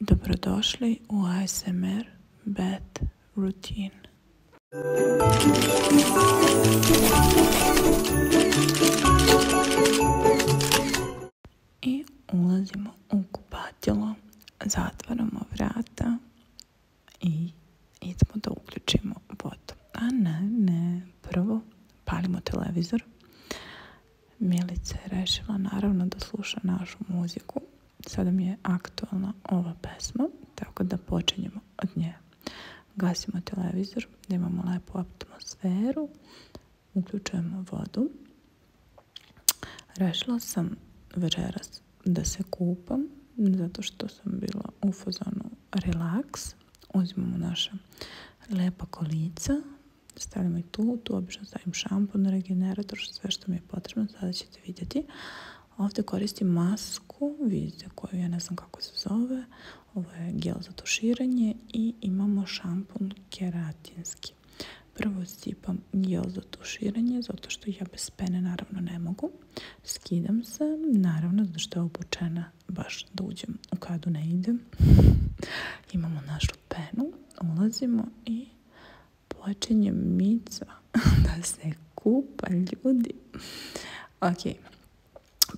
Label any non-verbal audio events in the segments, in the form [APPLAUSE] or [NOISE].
Dobrodošli u ASMR Bed Routine. I ulazimo u kupatilo, zatvaramo vrata i idemo da uključimo vodu. A ne, ne, prvo palimo televizor Milica je rešila naravno da sluša našu muziku. Sada mi je aktualna ova pesma, tako da počinjemo od nje. Gasimo televizor da imamo lepu atmosferu, uključujemo vodu. Rešila sam večeras da se kupam, zato što sam bila u fazonu relaks. Uzimamo naša lepa kolica, Stavljamo i tu, tu obično stavim šampon, regenerator, sve što mi je potrebno, sada ćete vidjeti. Ovdje koristim masku, vidite koju, ja ne znam kako se zove. Ovo je gel za tuširanje i imamo šampun keratinski. Prvo sipam gel za tuširanje, zato što ja bez pene naravno ne mogu. Skidam se, naravno, zato što je obučena baš da uđem u kadu ne idem. [LAUGHS] Imamo našu penu, ulazimo i počinjem mica [LAUGHS] da se kupa ljudi. [LAUGHS] Ok,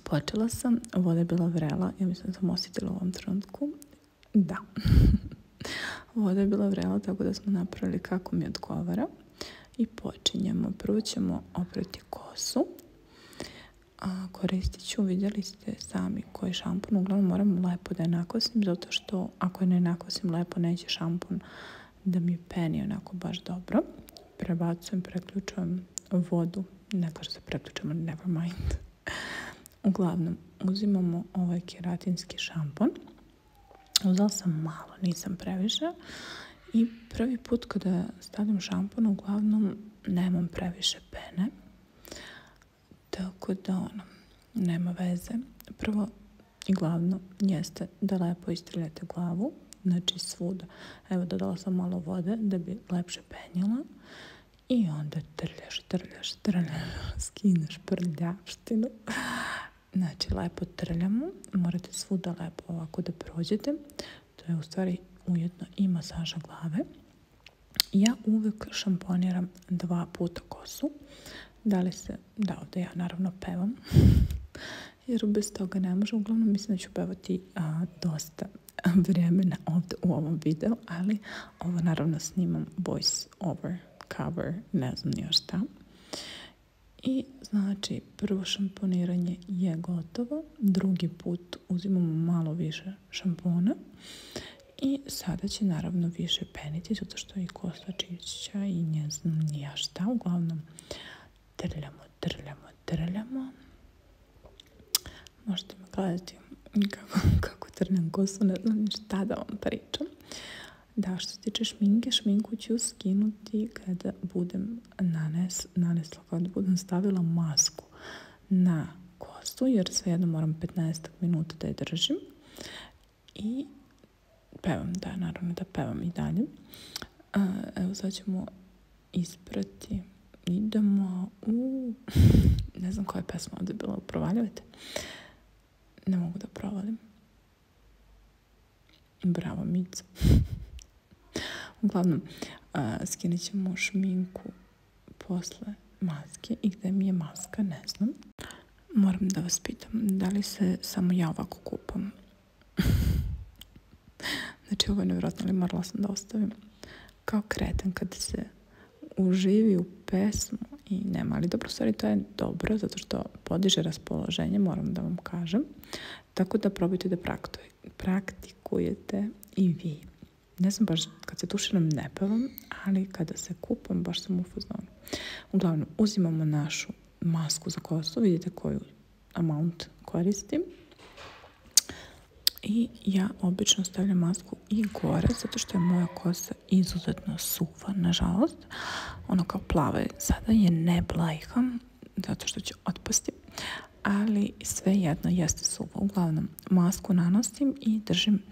počela sam, voda je bila vrela, ja mislim da sam osjetila u ovom trenutku. Da, voda je bila vrela, tako da smo napravili kako mi odgovara. I počinjemo, prvo ćemo oprati kosu a koristit ću, vidjeli ste sami koji šampun, uglavnom moram lepo da je nakosim, zato što ako je ne nakosim lepo neće šampon da mi peni onako baš dobro. Prebacujem, preključujem vodu, ne što se preključujemo, never mind. Uglavnom, uzimamo ovaj keratinski šampon, uzela sam malo, nisam previše i prvi put kada stavim šampon, uglavnom nemam previše pene. Tako da ono, nema veze. Prvo i glavno jeste da lepo istrljate glavu, znači svuda. Evo dodala sam malo vode da bi lepše penjela. I onda trljaš, trljaš, trljaš, skineš prljaštinu. Znači, lepo trljamo, morate svuda lepo ovako da prođete. To je u stvari ujedno i masaža glave. Ja uvijek šamponiram dva puta kosu. Da li se, da ovdje ja naravno pevam, [LAUGHS] jer bez toga ne može. Uglavnom mislim da ću pevati dosta vremena ovdje u ovom videu, ali ovo naravno snimam voice over cover, ne znam još šta. I znači prvo šamponiranje je gotovo, drugi put uzimamo malo više šampona i sada će naravno više peniti zato što i čišća i ne znam nija šta, uglavnom trljamo, trljamo, trljamo. Možete mi gledati kako, trljam kosu, ne znam šta da vam pričam. Da, što se tiče šminke, šminku ću skinuti kada budem nanes, nanesla, kad budem stavila masku na kosu, jer svejedno moram 15 minuta da je držim i pevam, da, naravno da pevam i dalje. Evo sad ćemo isprati, idemo u, [LAUGHS] ne znam koja je pesma ovdje bila, Ne mogu da provalim. Bravo, [LAUGHS] Uglavnom, uh, ćemo šminku posle maske i gde mi je maska, ne znam. Moram da vas pitam, da li se samo ja ovako kupam? [LAUGHS] znači, ovo je nevjerojatno, ali morala sam da ostavim. Kao kretan kad se uživi u pesmu i nema, ali dobro, stvari to je dobro, zato što podiže raspoloženje, moram da vam kažem. Tako da probajte da praktikujete i vi. Ne znam baš, kad se tuširam ne pevam, ali kada se kupam baš sam u fazonu. Uglavnom, uzimamo našu masku za kosu, vidite koju amount koristim. I ja obično stavljam masku i gore, zato što je moja kosa izuzetno suva, nažalost. Ono kao plava je sada je ne blajka, zato što će otpasti, ali sve svejedno jeste suva. Uglavnom, masku nanosim i držim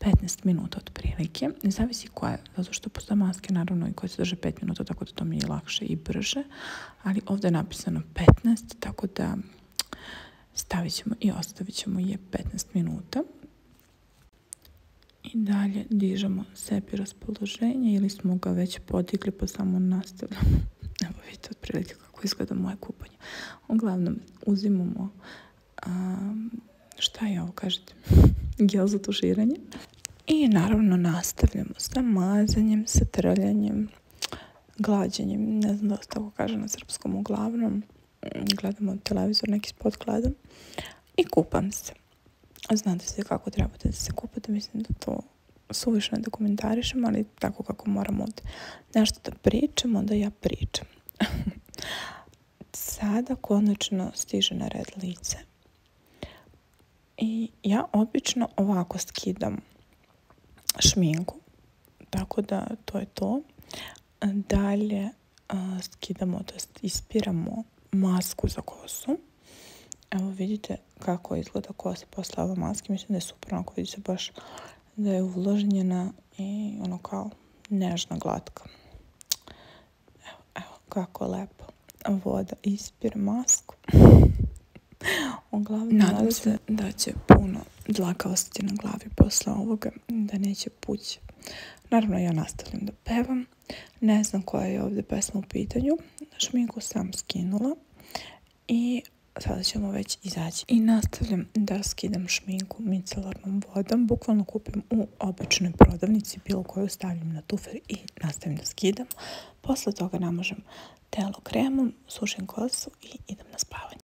15 minuta otprilike. Ne zavisi koja je, zato što postoje maske naravno i koje se drže 5 minuta, tako da to mi je lakše i brže. Ali ovdje je napisano 15, tako da stavit ćemo i ostavit ćemo je 15 minuta. I dalje dižemo sebi raspoloženje ili smo ga već podigli pa samo nastavljamo. [LAUGHS] Evo vidite otprilike kako izgleda moje kupanje. Uglavnom uzimamo šta je ovo kažete? [LAUGHS] Gel za tuširanje. I naravno nastavljamo sa mazanjem, sa trljanjem, glađenjem, ne znam da se kaže na srpskom uglavnom. Mm, gledamo televizor, neki spot gledam i kupam se. Znate se kako trebate da se kupate, mislim da to suvišno da ali tako kako moram od nešto da pričam, onda ja pričam. [LAUGHS] Sada konačno stiže na red lice. I ja obično ovako skidam šminku. Tako da to je to. Dalje skidamo, da ispiramo masku za kosu. Evo vidite kako izgleda kosa posle ove maske. Mislim da je super, onako se baš da je uvloženjena i ono kao nežna glatka. Evo, kako je lepo. Voda ispir masku. [LAUGHS] Uglavnom, nadam se da će puno dlaka ostati na glavi posle ovoga, da neće pući. Naravno, ja nastavljam da pevam. Ne znam koja je ovdje pesma u pitanju. Šminku sam skinula i sada ćemo već izaći. I nastavljam da skidam šminku micelarnom vodom. Bukvalno kupim u običnoj prodavnici, bilo koju stavljam na tufer i nastavim da skidam. Posle toga namažem telo kremom, sušim kosu i idem na spavanje.